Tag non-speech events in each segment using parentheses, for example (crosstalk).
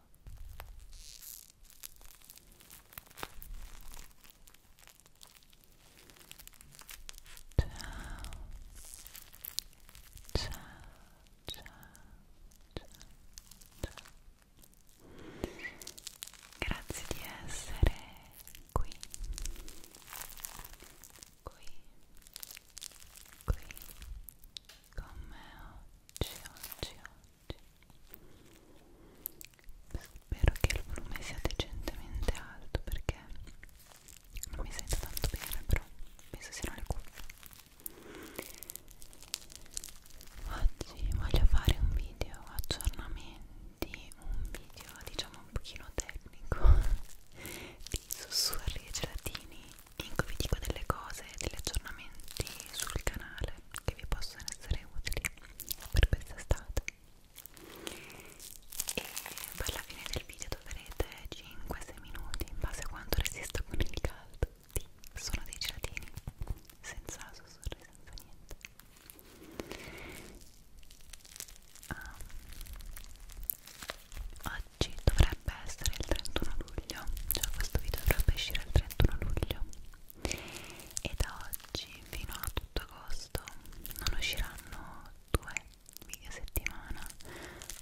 ciao ciao ciao ciao ciao grazie di essere qui qui qui con me oggi oggi oggi Spero che il volume sia decentemente alto perché non mi sento tanto bene, però penso siano le cuffie. Oggi voglio fare un video aggiornamenti, un video diciamo un pochino tecnico (laughs) di sussurri e gelatini in cui vi dico delle cose, degli aggiornamenti sul canale cose che vi possono essere utili per quest'estate e per la fine del video troverete 5-6 minuti in base a quanto resista con il caldo di sono dei gelatini senza sussurri, senza niente ah. oggi dovrebbe essere il 31 luglio cioè questo video dovrebbe uscire il 31 luglio e da oggi fino a tutto agosto non usciranno due video a settimana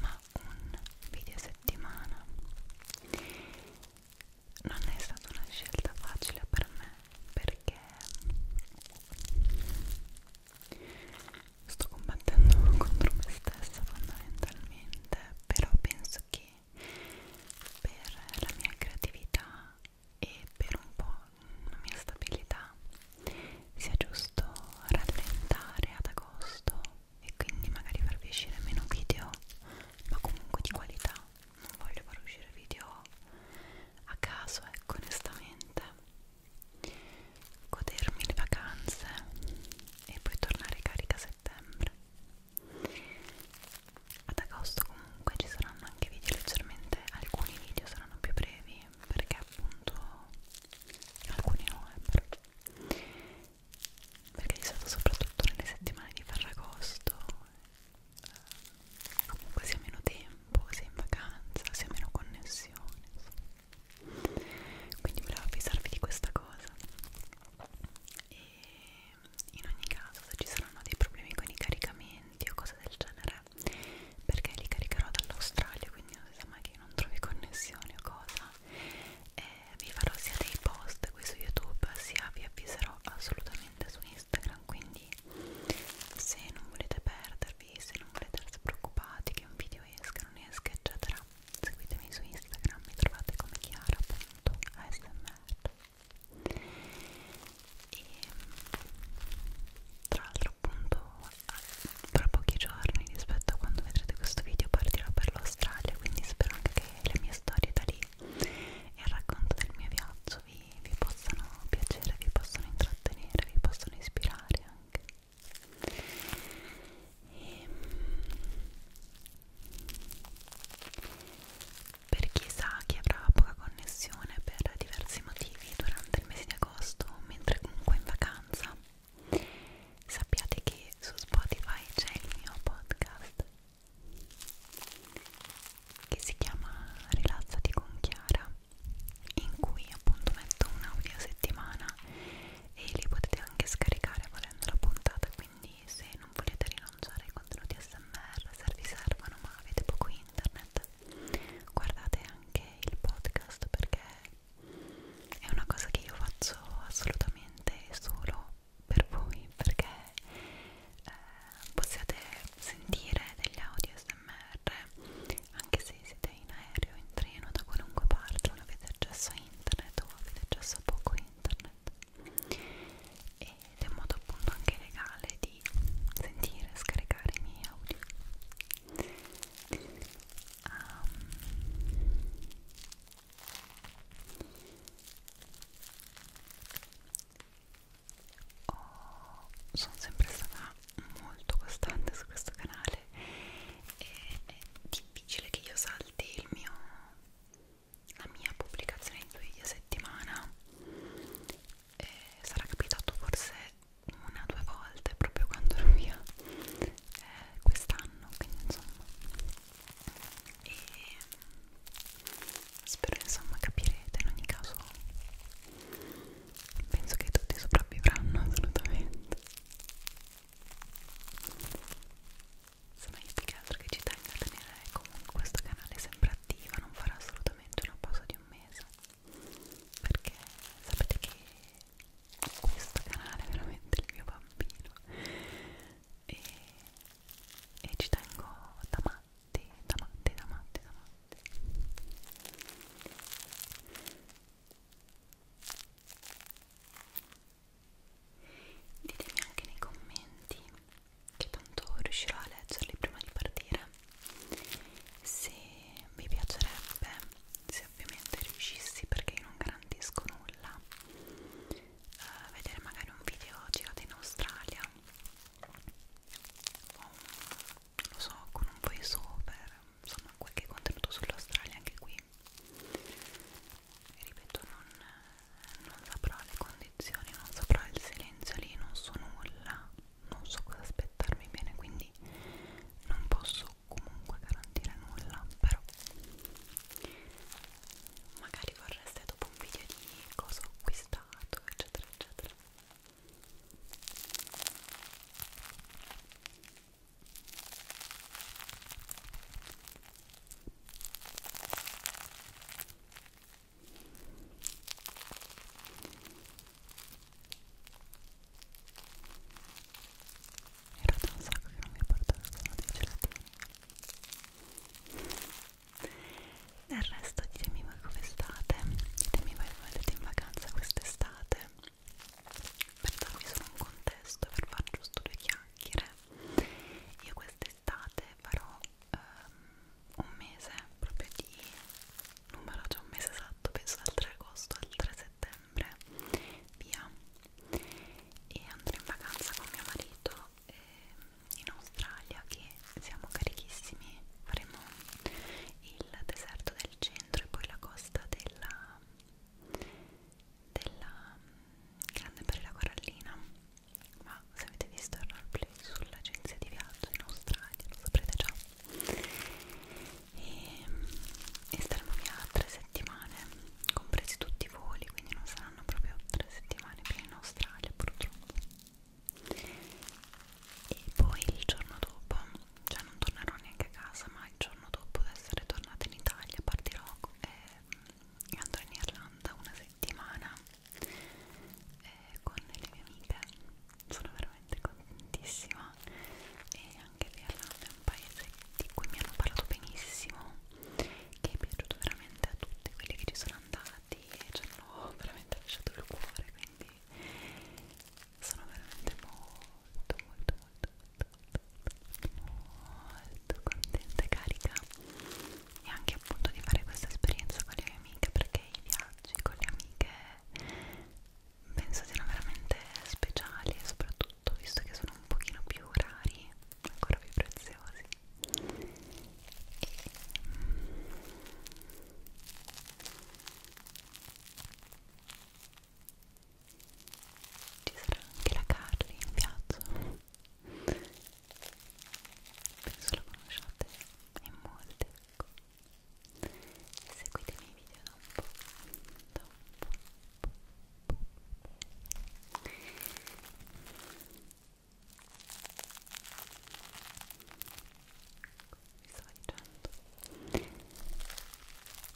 ma un video a settimana non è stata una scelta facile per me perché sto combattendo (laughs) contro me stessa fondamentalmente però penso che per la mia creatività e per un po' la mia stabilità sia giusto rallentare ad agosto e quindi magari farvi uscire meno video ma comunque di qualità non voglio far uscire video a caso ecco onestamente godermi le vacanze e poi tornare carica a settembre ad agosto comunque ci saranno anche video leggermente alcuni video saranno più brevi perché appunto alcuni no eh, perché di solito soprattutto nelle settimane di Ferragosto eh, comunque si ha meno tempo si è in vacanza si ha meno connessione insomma. quindi volevo avvisarvi di questa cosa e in ogni caso se ci saranno dei problemi con i caricamenti o cose del genere perché li caricherò dall'Australia quindi non si sa mai che non trovi connessioni o cosa e vi farò sia dei post qui su YouTube sia vi avviserò assolutamente su Instagram quindi se non volete perdervi se non volete essere preoccupati che un video esca non esca eccetera seguitemi su Instagram mi trovate come chiara.asmr e tra l'altro appunto tra pochi giorni rispetto a quando vedrete questo video partirò per l'Australia quindi spero anche che le mie storie da lì e il racconto del mio viaggio vi, vi possano piacere, vi possano intrattenere, vi possano ispirare anche e, ehm, per chi sa che avrà poca connessione per diversi motivi durante il mese di agosto mentre comunque in vacanza sappiate che su Spotify c'è il mio podcast che si chiama Rilassati con Chiara in cui appunto metto un audio a settimana e li potete anche scaricare volendo la puntata quindi se non volete rilanciare i contenuti SMR, se vi servono ma avete poco internet, guardate anche il podcast perché è una cosa che io faccio assolutamente solo per voi perché eh, possiate sentire degli audio SMR anche se siete in aereo, in treno, da qualunque parte, non avete accesso a internet o avete accesso a poco internet. E ed è un modo appunto anche legale di sentire e scaricare i miei audio um, Oh, sono sempre stata molto costante su questo canale e è difficile che io salti il mio la mia pubblicazione di due video a settimana e sarà capitato forse una o due volte proprio quando ero via eh, quest'anno quindi insomma e mm, spero insomma capirete in ogni caso penso che tutti sopravvivranno (laughs) assolutamente insomma io più che altro che ci tengo a tenere comunque questo canale sempre attiva non farà assolutamente una pausa di un mese perché sapete che questo canale è veramente il mio bambino e, e ci tengo da matti, da matti, da matti, da matti ditemi anche nei commenti che tanto riuscirò a leggerli prima di partire se mi piacerebbe se ovviamente riuscissi perché io non garantisco nulla eh, vedere magari un video girato in Australia o non lo so con un voice over insomma qualche contenuto sull'Australia anche qui ripeto non non saprò le condizioni, non saprò il silenzio lì, non so nulla, non so cosa aspettarmi bene, quindi non posso comunque garantire nulla, però magari vorreste dopo un video di cosa ho acquistato, eccetera, eccetera. Era da un sacco che non mi portavo sono dei gelatini. Del resto ditemi voi come state, ditemi voi come andate in vacanza quest'estate per darvi solo un contesto, per far giusto due chiacchiere. Io quest'estate farò um, un mese proprio di non vado già un mese esatto penso dal 3 agosto al 3 settembre via e andrò in vacanza con mio marito eh, in Australia che siamo carichissimi faremo il deserto del centro e poi la costa della della mm, grande barriera corallina ma se avete visto il roleplay sull'agenzia di viaggio in Australia lo saprete già e, ehm, e staremo via tre settimane compresi tutti i voli quindi non saranno proprio tre settimane più in Australia purtroppo e poi il giorno dopo cioè non tornerò neanche a casa ma il giorno dopo di essere tornata in Italia partirò ehm, e andrò in Irlanda una settimana eh, con le mie amiche sono veramente contentissima e anche l'Irlanda è un paese di cui mi hanno parlato benissimo che è piaciuto veramente a tutti quelli che ci sono andati e ci hanno (laughs) veramente lasciato il cuore quindi sono veramente molto molto molto molto molto, molto contenta e carica e anche appunto di fare questa esperienza con le mie amiche perché i viaggi con le amiche penso siano veramente speciali e soprattutto visto che sono un pochino più rari ancora più preziosi e, ci sarà anche la Carly in viaggio penso la conosciate in molti ecco. seguite i miei video da un po', da un po', po', po'. Ecco, stavo dicendo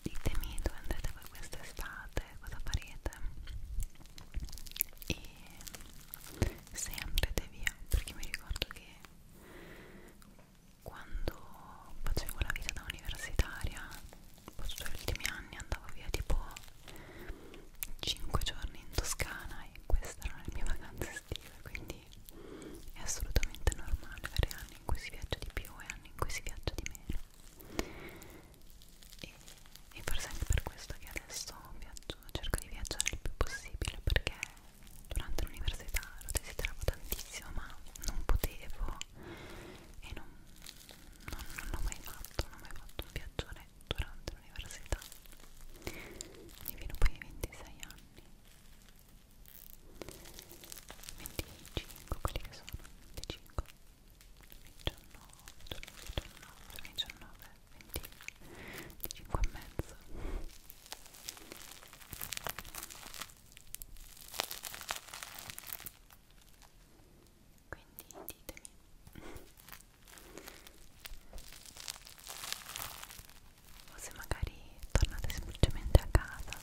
ditemi dove andrete voi quest'estate cosa farete e sempre te via perché mi ricordo che quando facevo la vita da universitaria posso gli ultimi anni andavo via tipo 5 giorni in Toscana e queste erano le mie vacanze estive quindi è assolutamente normale avere anni in cui si viaggia di più e anni in cui si viaggia di meno e, e forse anche per questo che adesso viaggio, cerco di viaggiare il più possibile perché durante l'università lo desideravo tantissimo ma non potevo e non, non, non l'ho mai fatto, non ho mai fatto un viaggione durante l'università divino poi ai 26 anni 25 quelli che sono 25 19 19 19 20, di 5 e mezzo quindi ditemi o se magari tornate semplicemente a casa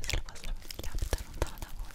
se la vostra famiglia abita lontana da voi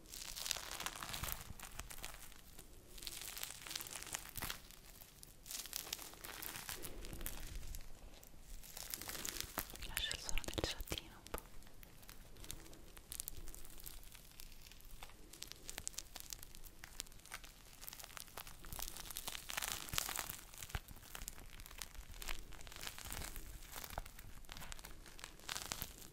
lascio il suono del ciottino un po'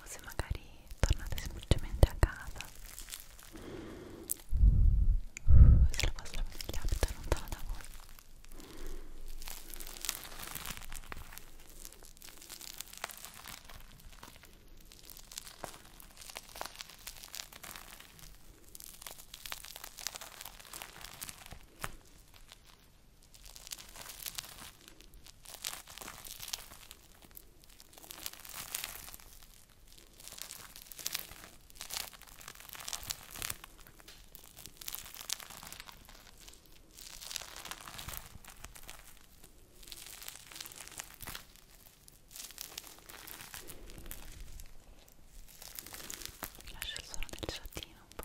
o se magari tornate semplicemente a casa se la vostra famiglia abita lontana da voi Lascia il suono del ciottino un po'.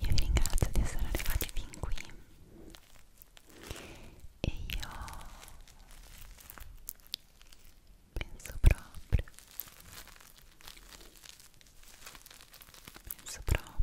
Io vi ringrazio di essere arrivati fin qui e io penso proprio, penso proprio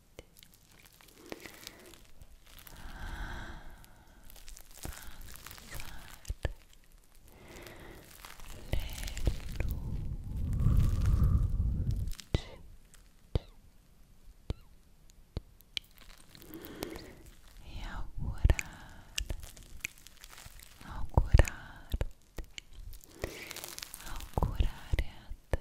e augurare augurarti augurare a te, a te